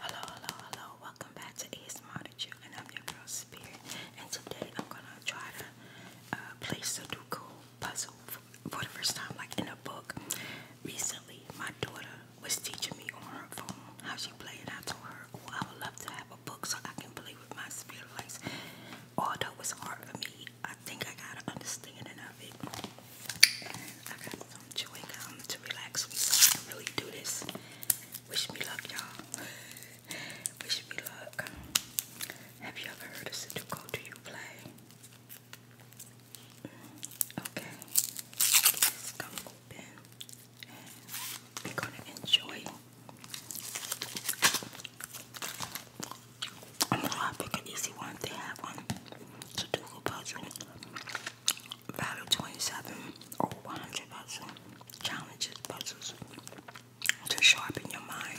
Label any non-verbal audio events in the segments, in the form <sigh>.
Hello, hello, hello. Welcome back to ASMR to and I'm your girl Spirit. And today I'm gonna try to uh, the Sudoku puzzle for the first time, like in a book. Recently, my daughter was teaching me on her phone how she played, it. I told her, "Oh, I would love to have a book so I can play play with my Although it's hard for me, I think I got an understanding of it. I got some chewing gum to relax me really do this. Wish me luck, y'all. <laughs> Wish me luck. Have you ever heard of Sudoku? Do you play? Okay. Let's come open. And we're gonna enjoy I'm gonna pick an easy one. They have one. Sudoku puzzle. Value 27 or 100 puzzle. Challenges, puzzles to sharpen your mind.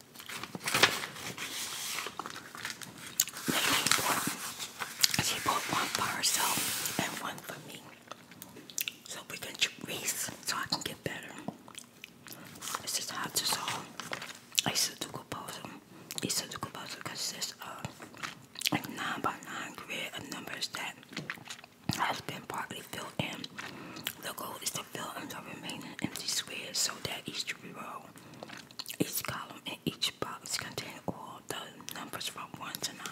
Mainly important. She bought one for herself and one for me. So we can race so I can get better. This is how to solve isodougal puzzle. Isodougal puzzle consists of a 9 by 9 grid of numbers that has been partly filled in. The goal is to fill in the remaining empty squares so that each row each column and each box contains all the numbers from 1 to 9.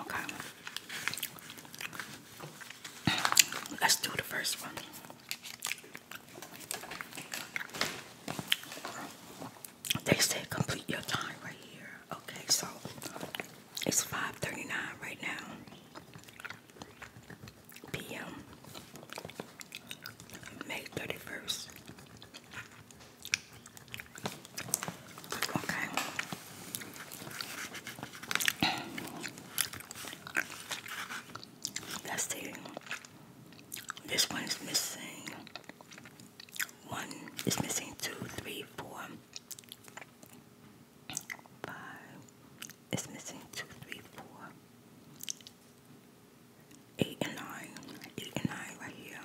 Okay. Let's do the first one. They said complete your time right here. Okay, so it's 5:39 right now p.m. May 31st. Okay. That's it. This one is missing one, it's missing two, three, four, five, it's missing two, three, four, eight and nine. Eight and nine right here.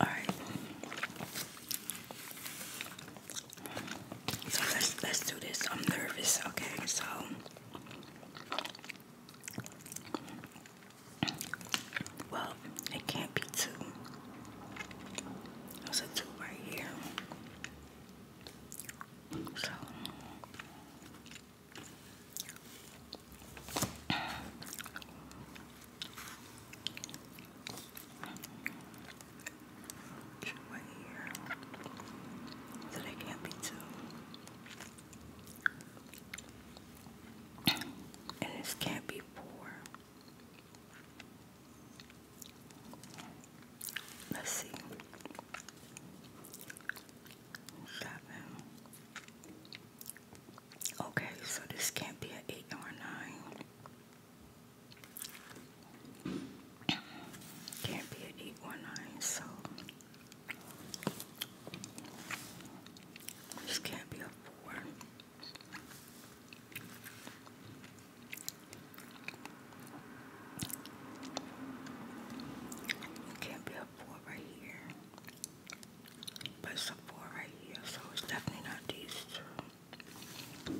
Alright. So let's let's do this. I'm nervous, okay, so well, it can't be two. There's a two right here. So two can't be two. And this can't be four. Let's see. Seven. Okay, so this can't be an eight or nine. Can't be an eight or nine, so this can't be a four can't be a four right here. But it's a four right here, so it's definitely not these two.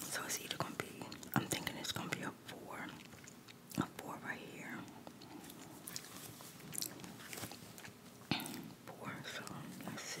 So it's either gonna be I'm thinking it's gonna be a four. A four right here. Four, so let's see.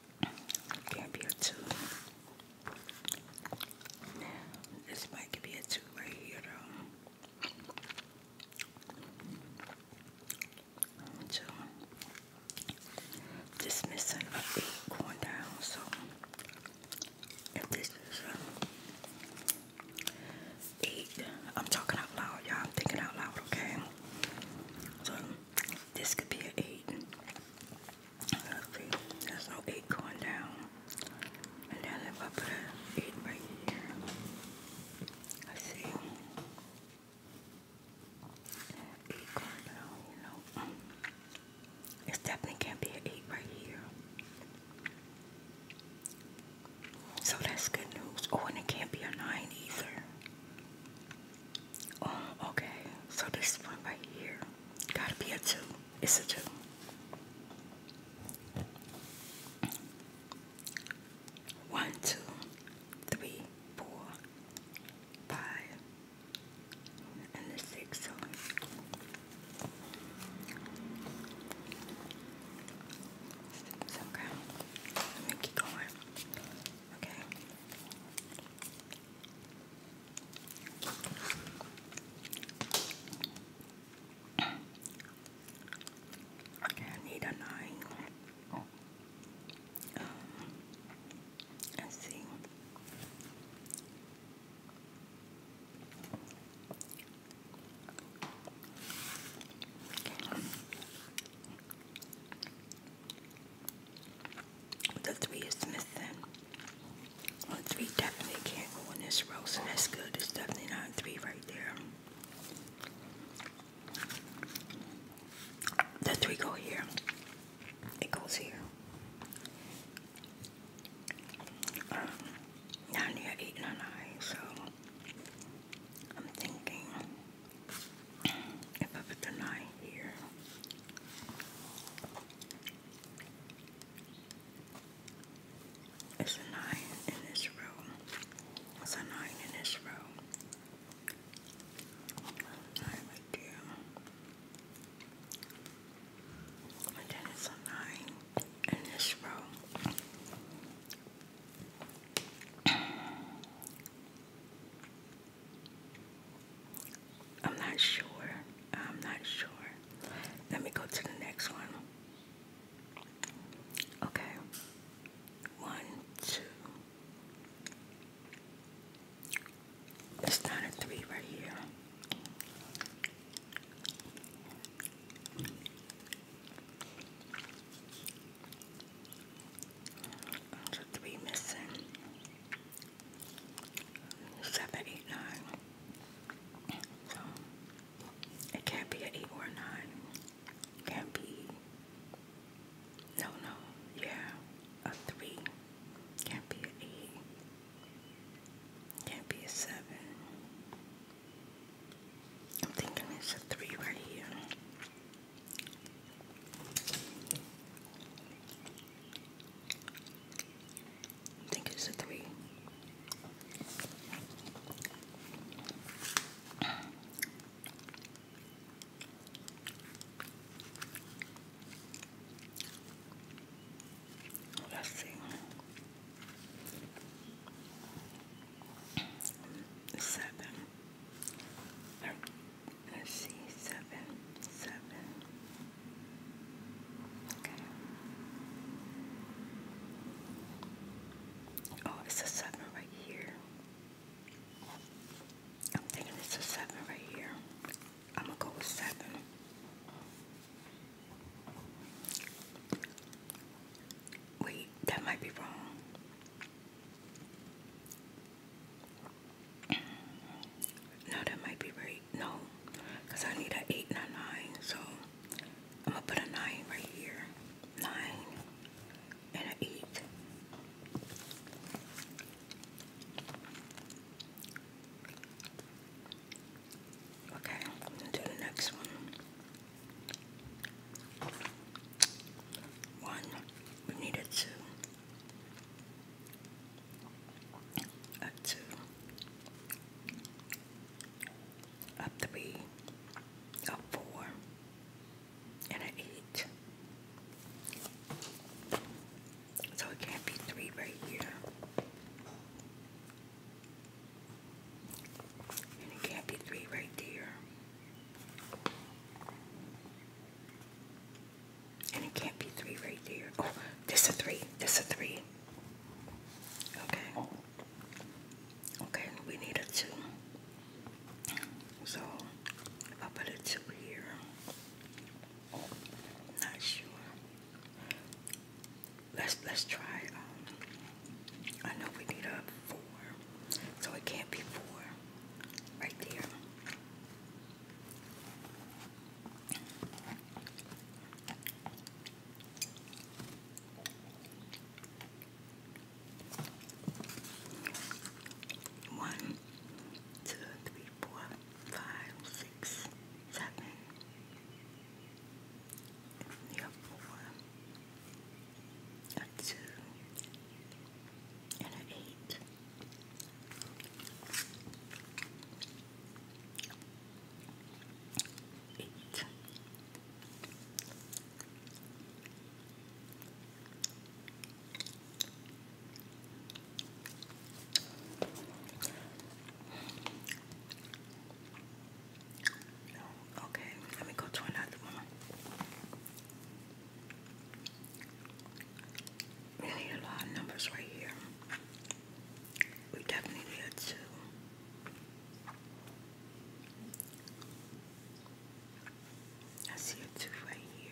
can be a two. This might could be a two right here though. Two. Just missing a eight going down, so if this is a eight, I'm talking out loud, y'all. I'm thinking out loud, okay? So this could be an eight. Let's there's no 8 going down. And then if I put an 8 right here, let see. 8 going down, you know. It definitely can't be an 8 right here. So that's good news. Oh, and it can't be a 9 either. Oh, okay. So this one right here. Gotta be a two. It's a two. One, two, three, four, five, and the six. So Okay, keep going. Okay, Okay, I need a nine. Um, let's see. The three is missing. three definitely can't go in this row, so that's good. It's definitely not three right there. The three go here. It goes here. Um, nine here, eight and a nine, so I'm thinking if I put the nine here, it's a nine in this row? It's a nine in this room. Nine right there. then it's a nine in this room. I'm not sure. I'm not sure. Let me go to the next one. Okay. One, two. It's not a three right here. There's three missing seven, eight, nine. it can't be an eight or a nine. It can't be no no, yeah. A three. Can't be an eight. Can't be a seven. I'm thinking it's a three right here. I think it's a three. Let's see. Seven. Let's see, seven, seven. Okay. Oh, it's a seven right here. I'm thinking it's a seven right here. I'm gonna go with seven. Wait, that might be wrong. No, that might be right. No, I need an 8 So I'm going to put a 9 right here. 9 and an 8. Okay, to the next one. One, we need a two a two, a three, a four, and an eight. So it can't be three right here. And it can't be three right there. And it can't be three right there. Oh, this a three. This a three. Okay. Okay, we need a two. So if I put a two here. Not sure. Let's let's try um I know we need a four. So it can't be four right there. One, two, three, four, five, six, seven. You have four, a two, and an eight. Eight. Okay, let me go to another one. Really a lot of numbers right here. We definitely need two. I see a two right here.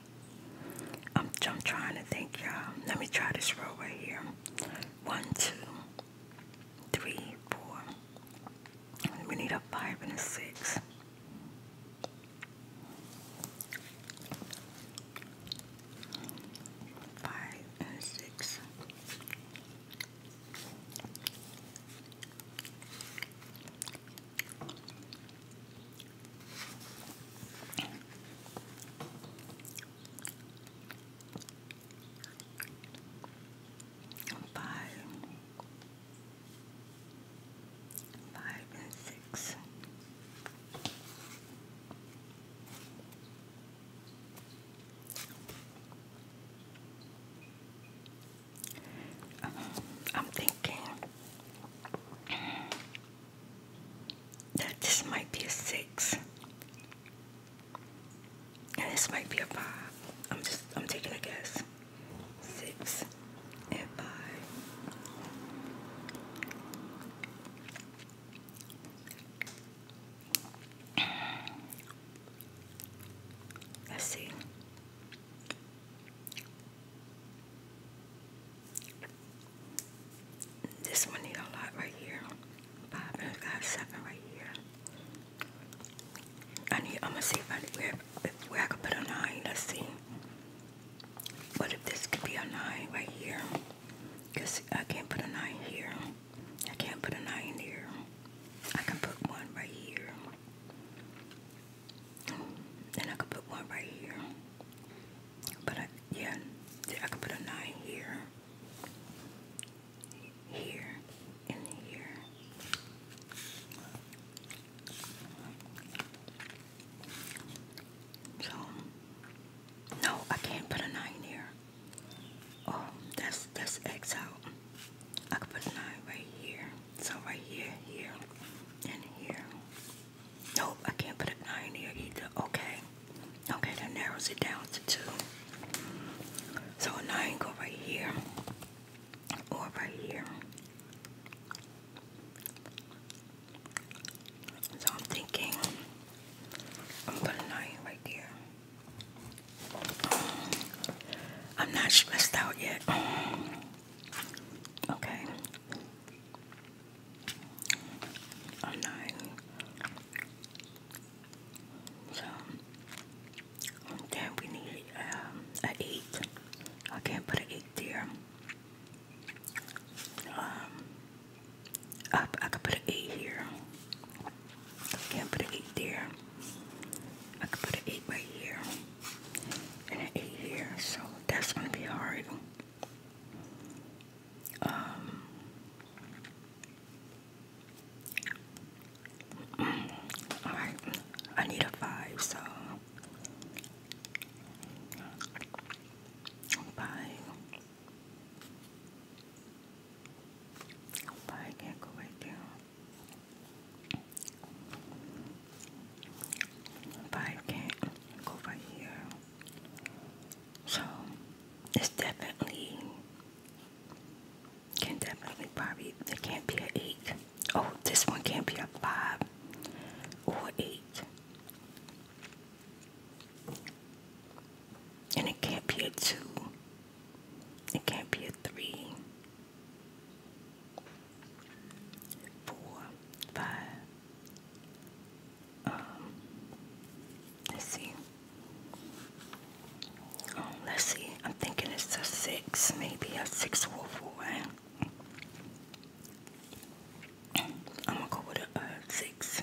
I'm, I'm trying to think, y'all. Let me try this row right here. One, two, three, four. We need a five and a six. Five and six. Five, five and six. I'm thinking that this might be a six. And this might be a five. I'm just I'm taking a guess. Six and five. Let's see. This one need a lot right here. Five and got seven right here. I need. I'm gonna see if I where if, where I could put a nine. Let's see. What if this could be a nine right here? Cause I can't put a nine here. I can't put a nine here. I can put one right here. And I could put one right here. But I, yeah, I could put a nine here, here, and here. So, no, I can't put a nine here. Oh, that's that's X out. I could put a nine right here. So right here, here, and here. Nope, I can't put a nine here either. Okay. Okay, that narrows it down to two. So a nine go right here. Or right here. So I'm thinking I'm gonna put a nine right there. I'm not stressed out yet. Okay or nine. So then we need um, eight. I can't put an eight there. Um, I, I could put an eight here. I can't put an eight there. I could put an eight right here an eight here. So that's gonna be hard. Um, all right, I need a five, so five. Five can't go right there. Five can't go right here. So it's definitely can definitely probably there can't be an eight. Oh, this one can't be a five or eight. And it can't be a two. It can't be a three. Um, let's see. Oh, let's see. I'm thinking it's a six, maybe a six or four. I'm gonna go with a six.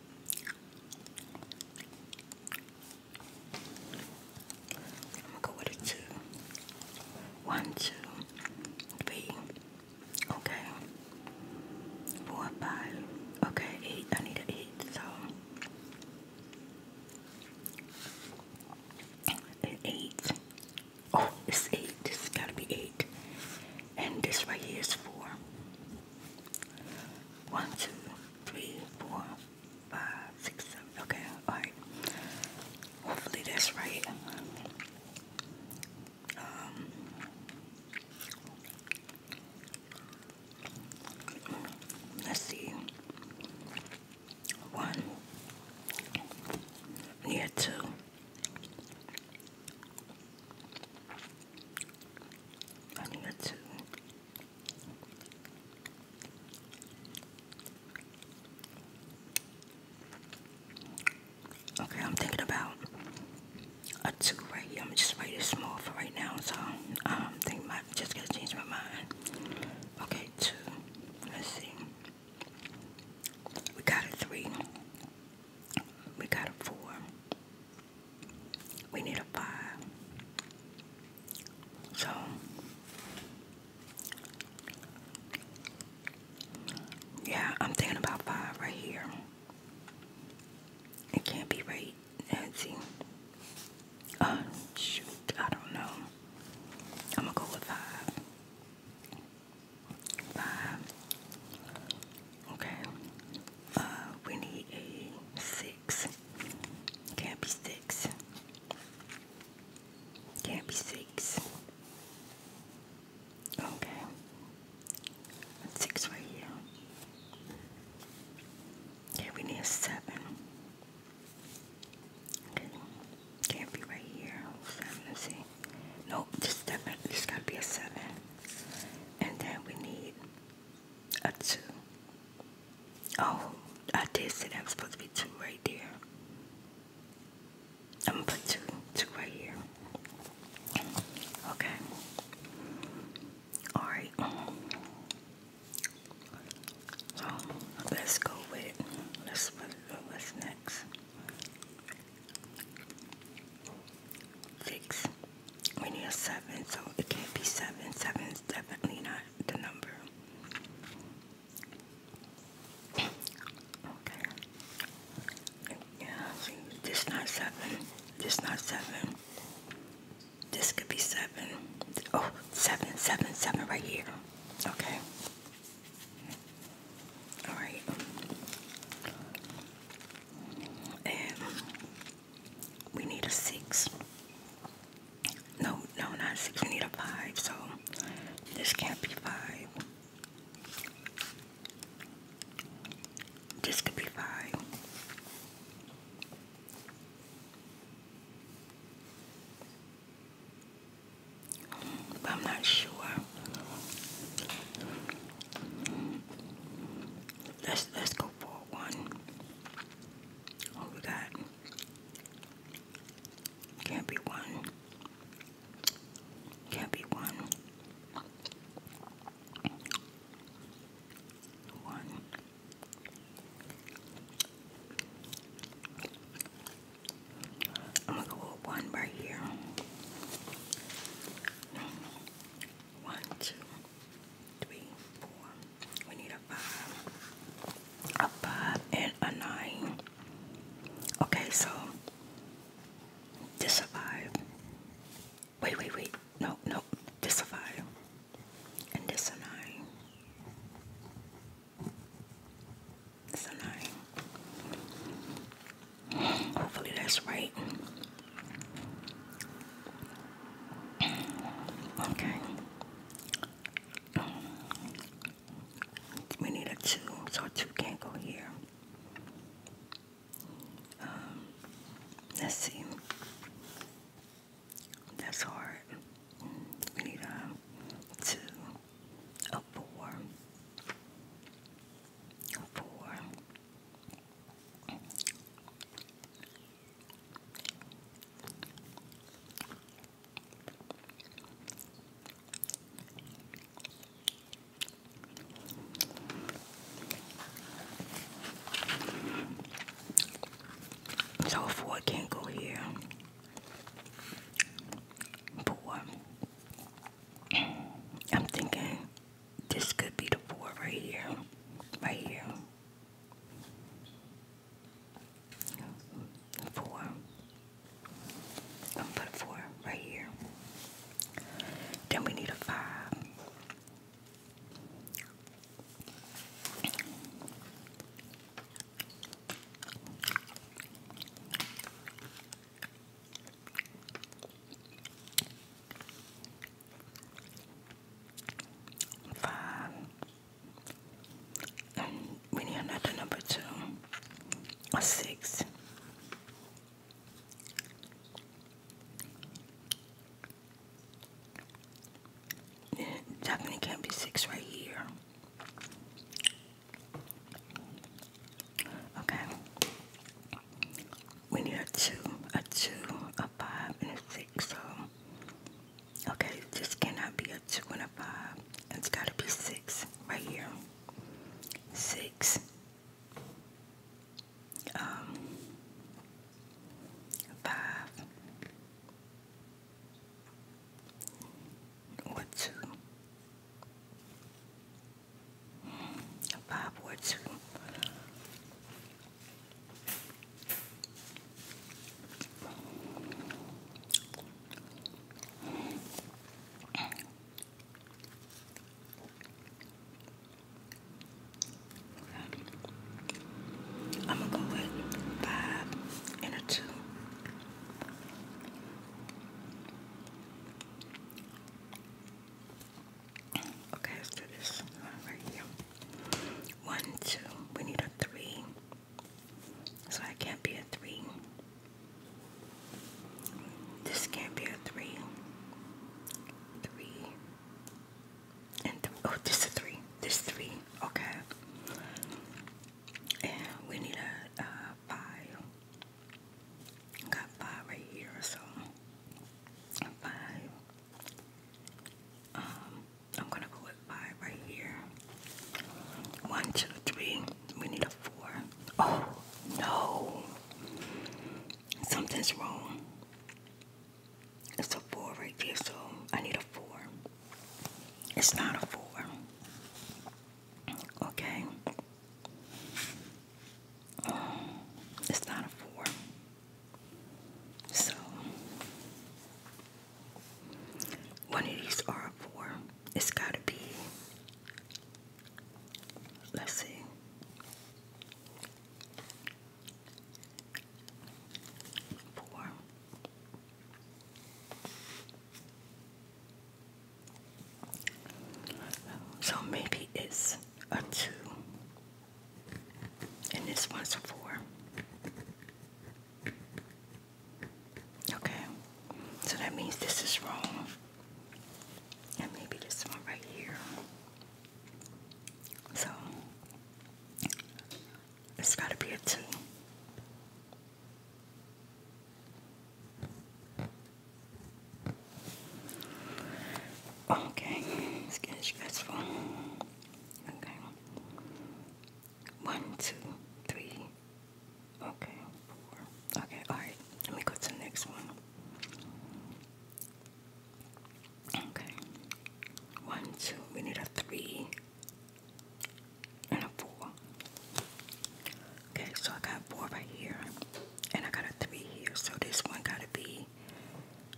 I'm gonna go with a two. One, Okay. Four, five. Okay, eight. I need an eight, so eight. Oh, it's eight. This gotta be eight. And this right here is four. One, two, three, four, five, six, seven. Okay, all right. Hopefully that's right. Um, let's see. One. Yeah, two. I need that's two. Okay, I'm thinking about a two right here. I'm just write it small for right now, so I'm um, I just gotta change my mind. Okay, two. Let's see. We got a three. We got a four. We need a five. So yeah, I'm thinking about five right here. It can't be right, Nancy. Uh, shoot, I don't know. I'm gonna go with five. Five. Okay. Uh, we need a six. Can't be six. Can't be six. Okay. A six right here. Okay, we need a seven. Okay. Can't be right here. Seven, let's see. Nope, just seven. There's gotta be a seven. And then we need a two. Oh, I did say I was supposed to be two right there. I'm gonna put two, two right here. Okay. All right. So let's go with. Let's put what's next. Six we need a seven, so it can't be seven. Seven is definitely not the number. Okay. Yeah, see, this not seven. This not seven. This could be seven. Oh, seven, seven, seven right here. Okay. All right. And we need a six. No, no, not six. We need a five. So this can't be five. This could be five. But I'm not sure. Let's let's go for one. What we got? Can't be one. Can't be one. One. I'm gonna go one right here. One, two three, four. We need a five, a five, and a nine. Okay, so this a five. Wait, wait, wait. No, no. This a five, and this a nine. a nine. Hopefully that's right. Okay. We need a two, so a two can't go here. Um, let's see. That's hard. We need a two, a four, a four, so four can't go here. But I'm thinking this could be the four right here. Right here. Four. I'm four right here. Then we need a five five. And um, we need another number two, six. definitely can't be six right here. Okay we need a two, a two, a five, and a six. So, okay, this cannot be a two and a five. It's got to be six right here. Six. Um, five. Or two. Bob Woods. I'm gonna go with five and a two. Okay, let's do this one right here. One, two. We need a three. So I can't be a three. This can't be a three. Three. And th oh, this is a three. This three. Okay. And we need a, a five. Got five right here, so five. Um, I'm gonna go with five right here. One, two, three. We need a four. Oh no. Something's wrong. It's a four right here. so I need a four. It's not a four. Okay. it's not a four. So, one of these are for, it's got to be, let's see. Four. So maybe it's a two and this one's a four. Okay. So that means this is wrong. And maybe this one right here. So it's gotta be a two. Okay, it's getting stressful. Okay. One, two, three. Okay, four. Okay, alright. Let me go to the next one. Okay. One, two. We need a three and a four. Okay, so I got four right here. And I got a three here. So this one gotta be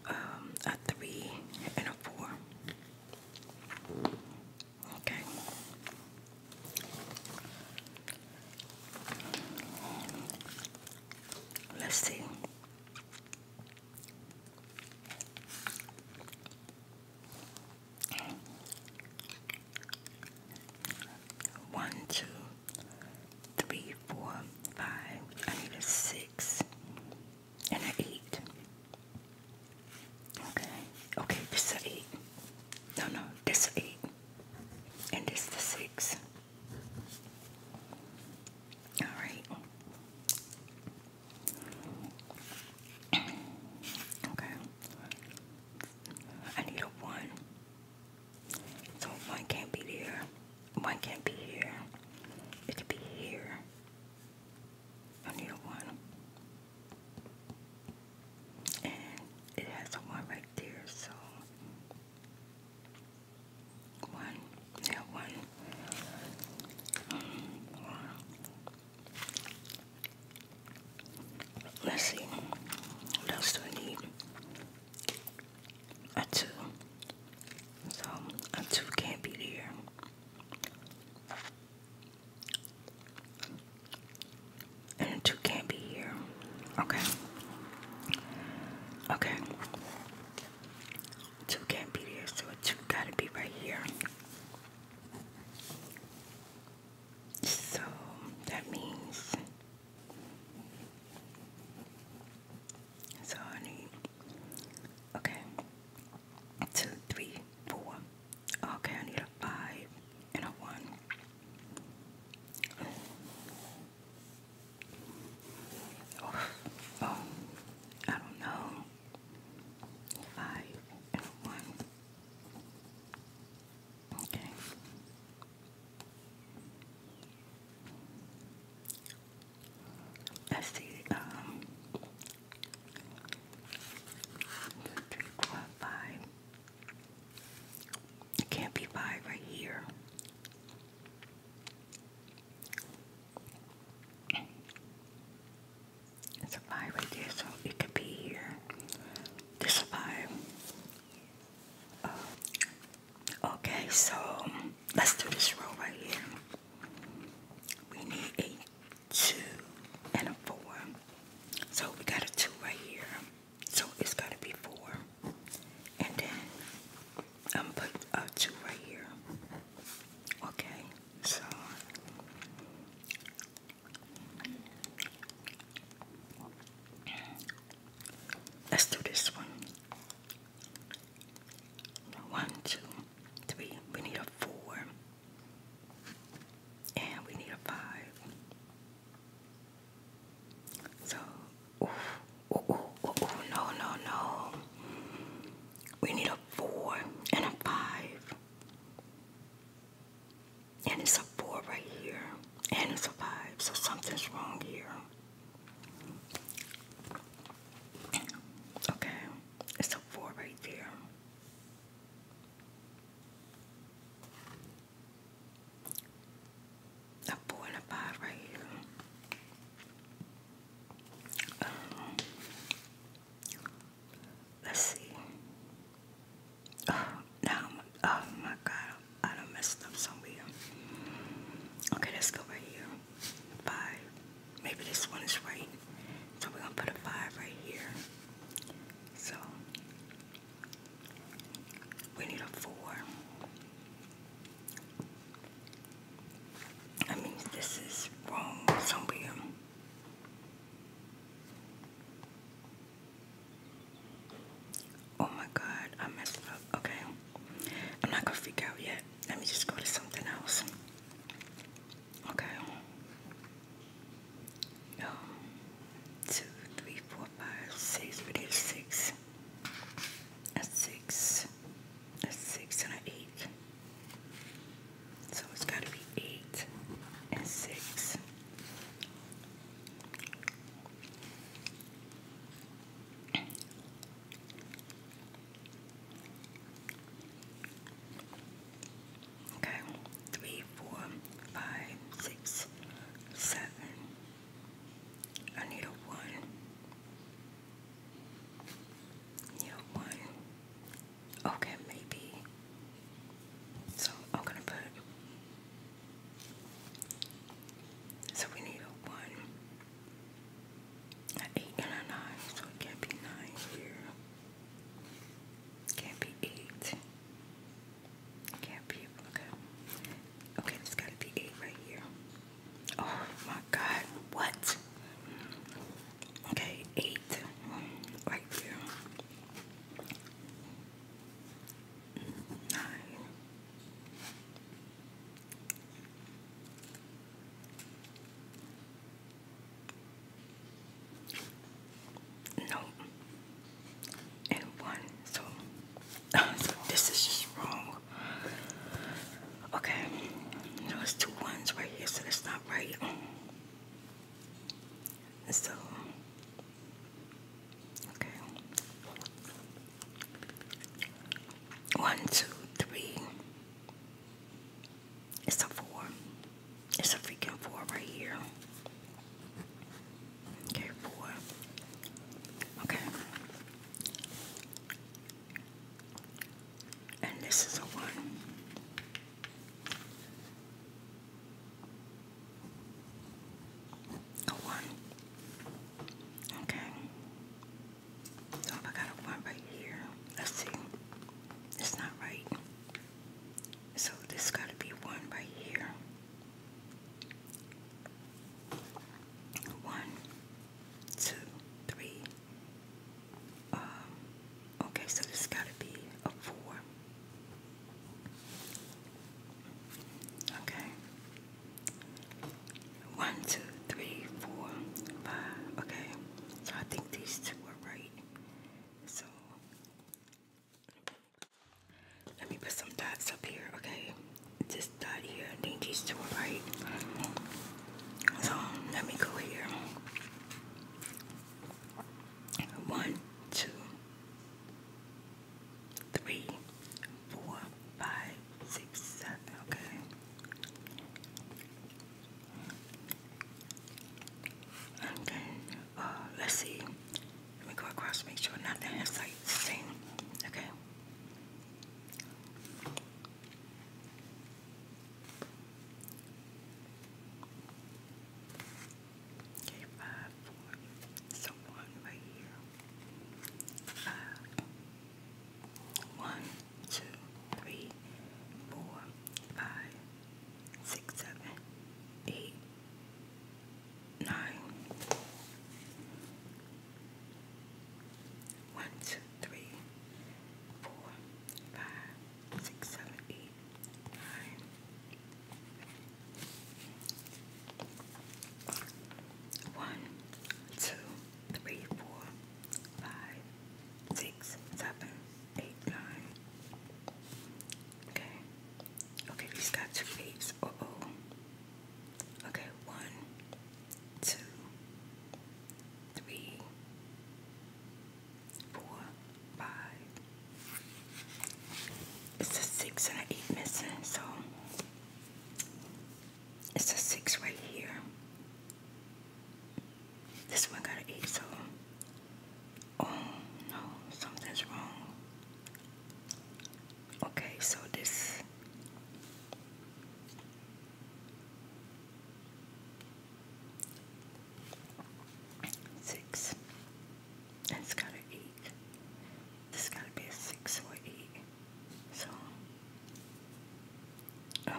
um, a three and a four. Okay. Let's see. One, two, three, four, five. I need a six and an eight. Okay. Okay, this is eight. No, no, this eight. And this the six. All right. okay. I need a one. So one can't be there. One can't be here. It could be here. I need a one. And it has a one right there, so one, yeah, one. one. Let's see. What else do I need? a two. So a two can't be there. And a two can't be here. Okay. Okay. Two can't be there, so a two gotta be right here. So that means so I need, okay, two, three, four. Okay, I need a five and a one. Oh, oh I don't know. Five and a one. Okay. I see, um, three, four, five. It can't be five right here. It's a five right there, so it could be here. This is five. Okay, so let's do this row right here. We need a two and a four. So we got a two right here. So it's to be four. And then I'm put a two right here. Okay, so let's do this one. One, two, three. We need a four. And we need a five. So, no, no, no. We need a four and a five. And it's a four right here. And it's a five. So something's wrong here. Okay, it's a four right there. A four and a five right here. Um, let's see. Oh, now, oh my God. I done messed up somewhere. Okay, let's go right here. Five. Maybe this one is right. So we're gonna put a five right here. So we need a four. I mean, this is wrong somewhere. Oh my god, I messed up. Okay. I'm not gonna freak out yet. Let me just go to something else. Okay. Um, two, three, four, five, six. We six. A six. A six and eight. So it's gotta be eight and six. Okay, three, four, five, six, seven. I need a one. Need a one. Okay, maybe. So I'm gonna put so we need a one, an eight, and a nine. So it can't be nine here. Can't be eight. Can't be okay. Okay, it's gotta be eight right here. Oh my God! What? Okay, eight right here. Nine. No, and one. So, <laughs> so this is just wrong. Okay, now it's two ones right here, so it's not right. So Okay. One, two, three. It's a four. It's a freaking four right here. Okay, four. Okay. And this is a one. A one. Okay. So if I got a one right here, let's see. It's not right. So this gotta be one right here. One, two, three. Um, okay, so this gotta be a four. Okay. One, two, three, four, five. Okay, so I think these two are right. So let me put some dots up here. Okay, this dot here. I think these two are right. So let me go here. One, two, three, four, five, six, seven. Okay. And uh, let's see. Let me go across, make sure nothing has like the same. Okay. Okay, five, four, so one right here five. One, two, three, four, five, six, seven, eight, nine. One, two, three, four, five, six, seven, eight, nine. One, two, three, four, five, six, seven, eight, nine. Okay. Okay, these got two eights. Uh oh. Okay, one, two, three, four, five. It's a six and an eight missing, so it's a six right here. This one got an eight, so oh no, something's wrong. Okay, so this six. It's got an eight. This gotta be a six or eight. So, oh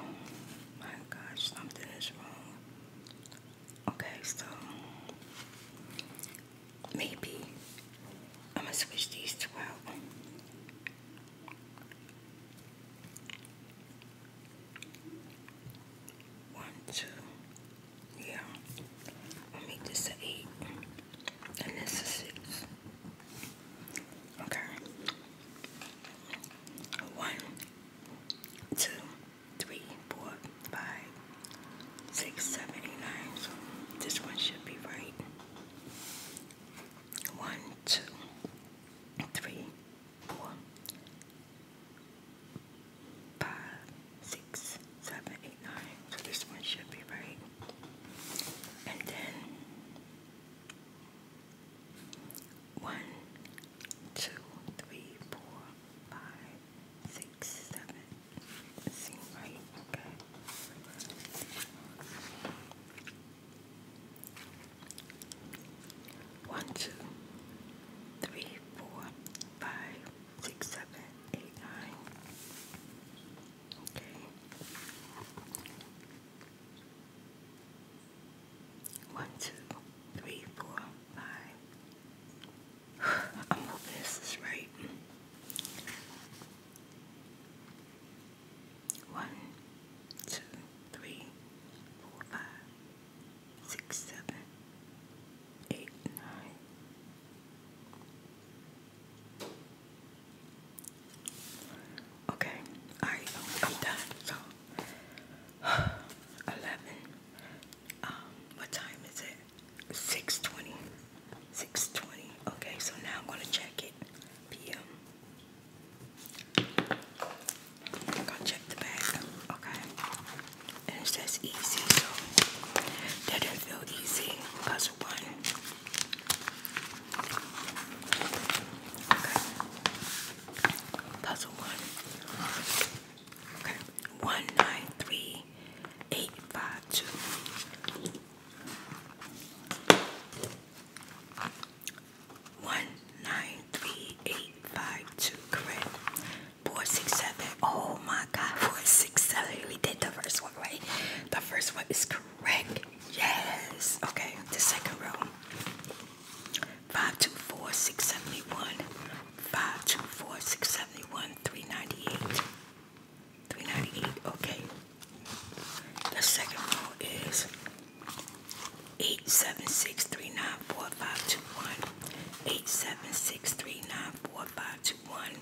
my gosh, something is wrong. Okay, so maybe I'm gonna switch these two out. One, two, yeah. I'll make this eight, and this a six. Okay. One, two, three, four, five, six, seven, eight, nine. this one should be right. One, two, three, four, five, six, seven, eight, nine. So this one should be right. And then one, two, three, four, five, six, seven. Seem right, okay. One, two, three, four, five, six, seven, eight, nine. Okay. One, two, three, four, five. <sighs> I'm hoping this is right. One, two, three, four, five, six, seven, eight, nine. Okay, all right, I'm done. So, <sighs> 11. Um, what time is it? 6:20. 6:20. Okay, so now I'm gonna check it. PM. gonna check the bag. Okay, and it says easy, so didn't feel easy. Cause one, Puzzle one. Okay. One nine three eight five two. One nine three eight five two. Correct. Four six seven. Oh my my the second row. four, six, seventy-one. Three ninety-eight. Three ninety-eight. Okay. The second row is eight, seven, six, three, nine, four, five, two, one. Eight, seven, six, three, nine, four, five, two, one.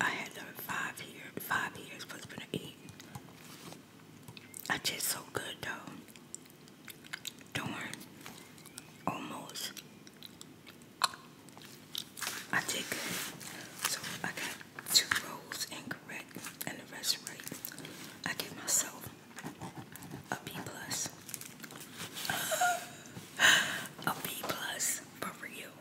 I had five years. Five years plus been eating. I taste so good though. Darn. Almost. I did So I got two rolls incorrect and the rest right. I give myself a B plus. <laughs> a B plus for real.